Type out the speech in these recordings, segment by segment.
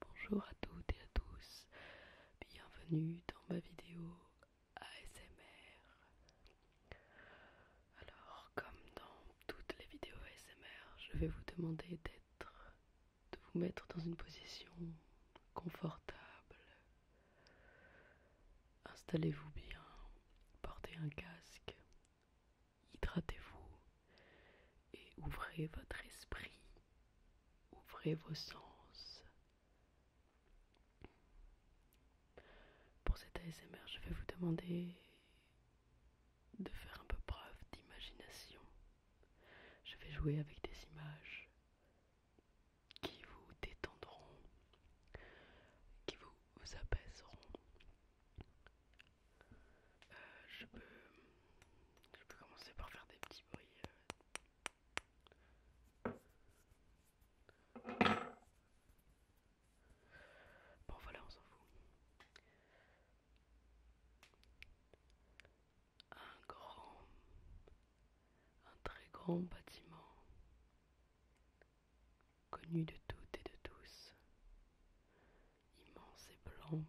Bonjour à toutes et à tous, bienvenue dans ma vidéo ASMR. Alors, comme dans toutes les vidéos ASMR, je vais vous demander d'être, de vous mettre dans une position confortable. Installez-vous bien, portez un casque, hydratez-vous et ouvrez votre esprit, ouvrez vos sens. Pour cet ASMR, je vais vous demander de faire un peu preuve d'imagination. Je vais jouer avec des images qui vous détendront, qui vous apaiseront. Euh, je, peux, je peux commencer par faire des petits bruits. Euh. Bon voilà, on s'en fout. Un grand, un très grand bâtiment, connu de toutes et de tous, immense et blanc,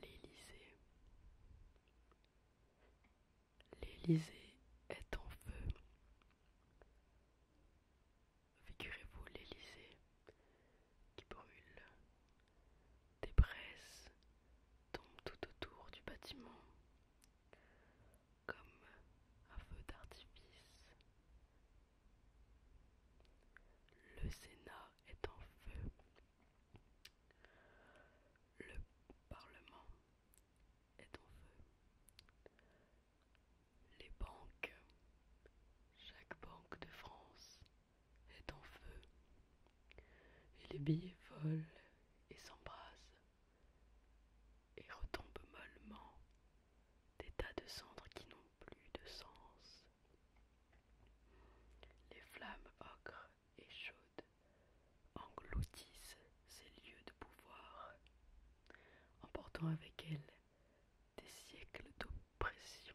L'Élysée. L'Élysée est en feu. Figurez-vous l'Élysée qui brûle. Des braises tombent tout autour du bâtiment comme un feu d'artifice le Sénat est en feu. Le Parlement est en feu. Les banques, chaque banque de France est en feu. Et les billets volent et s'embrasent et retombent mollement des tas de cendres qui n'ont plus de sens. Les flammes ocres et chaudes engloutissent ces lieux de pouvoir, emportant avec elles des siècles d'oppression,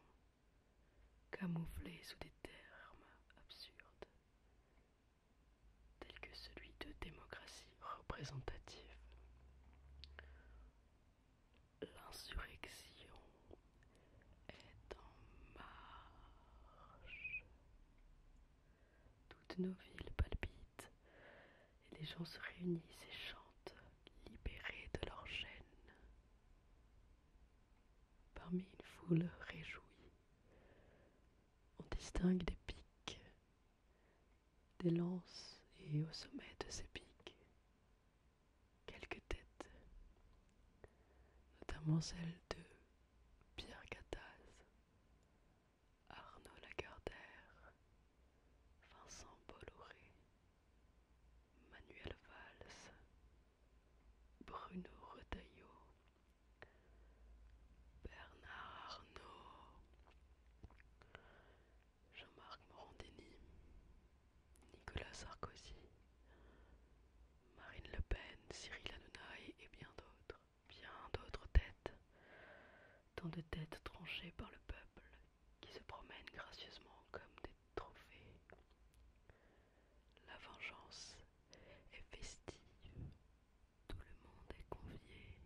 camouflés sous des termes absurdes, tels que celui de démocratie représentative. L'insurrection est en marche. Toutes nos villes palpitent et les gens se réunissent et chantent, libérés de leurs chaînes. Parmi une foule réjouie, on distingue des pics, des lances et au sommet de ses pics quelques têtes, notamment celles de Pierre Gattaz, Arnaud Lagardère, Vincent Bolloré, Manuel Valls, Bruno Retailleau, Bernard Arnault, Jean-Marc Morandini, Nicolas Sarkozy, Marine Le Pen, Cyril Hanouna et bien d'autres, bien d'autres têtes, tant de têtes tranchées par le peuple qui se promènent gracieusement comme des trophées. La vengeance est festive, tout le monde est convié.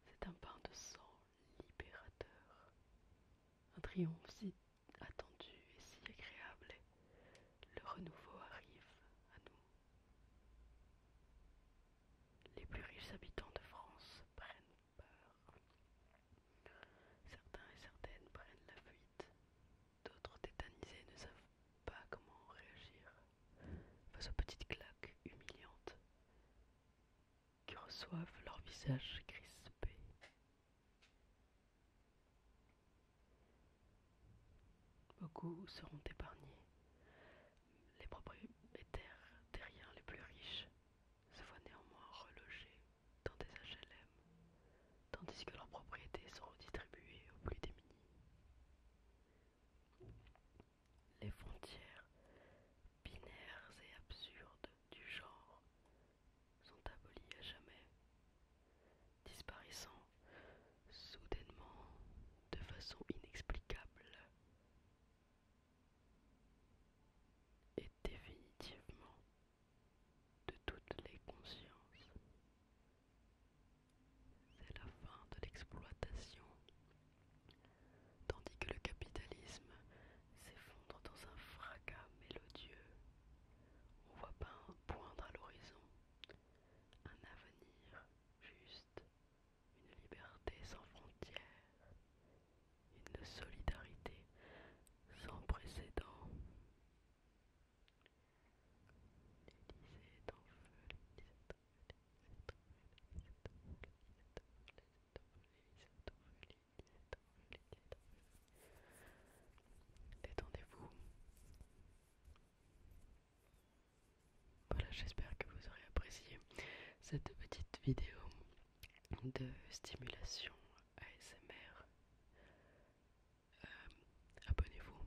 C'est un pain de sang libérateur. Un triomphe si attendu et si agréable. Le renouveau arrive à nous. Les plus riches habitants de France prennent peur. Certains et certaines prennent la fuite. D'autres tétanisés ne savent pas comment réagir face aux petites claques humiliantes qui reçoivent leur visage crispé. Beaucoup seront épargnés. Les propriétaires terriens les plus riches se voient néanmoins relogés dans des HLM, tandis que leurs propriétés sont distribuées aux plus démunis. Les frontières binaires et absurdes du genre sont abolies à jamais, disparaissant soudainement de façon inexplicable et définitivement de toutes les consciences. C'est la fin de l'exploitation, tandis que le capitalisme s'effondre dans un fracas mélodieux. On voit pas poindre à l'horizon un avenir juste, une liberté sans frontières, une solidarité sans précédent. feu, Détendez-vous. Voilà, j'espère que vous aurez apprécié cette petite vidéo de stimulation ASMR. Euh, abonnez-vous.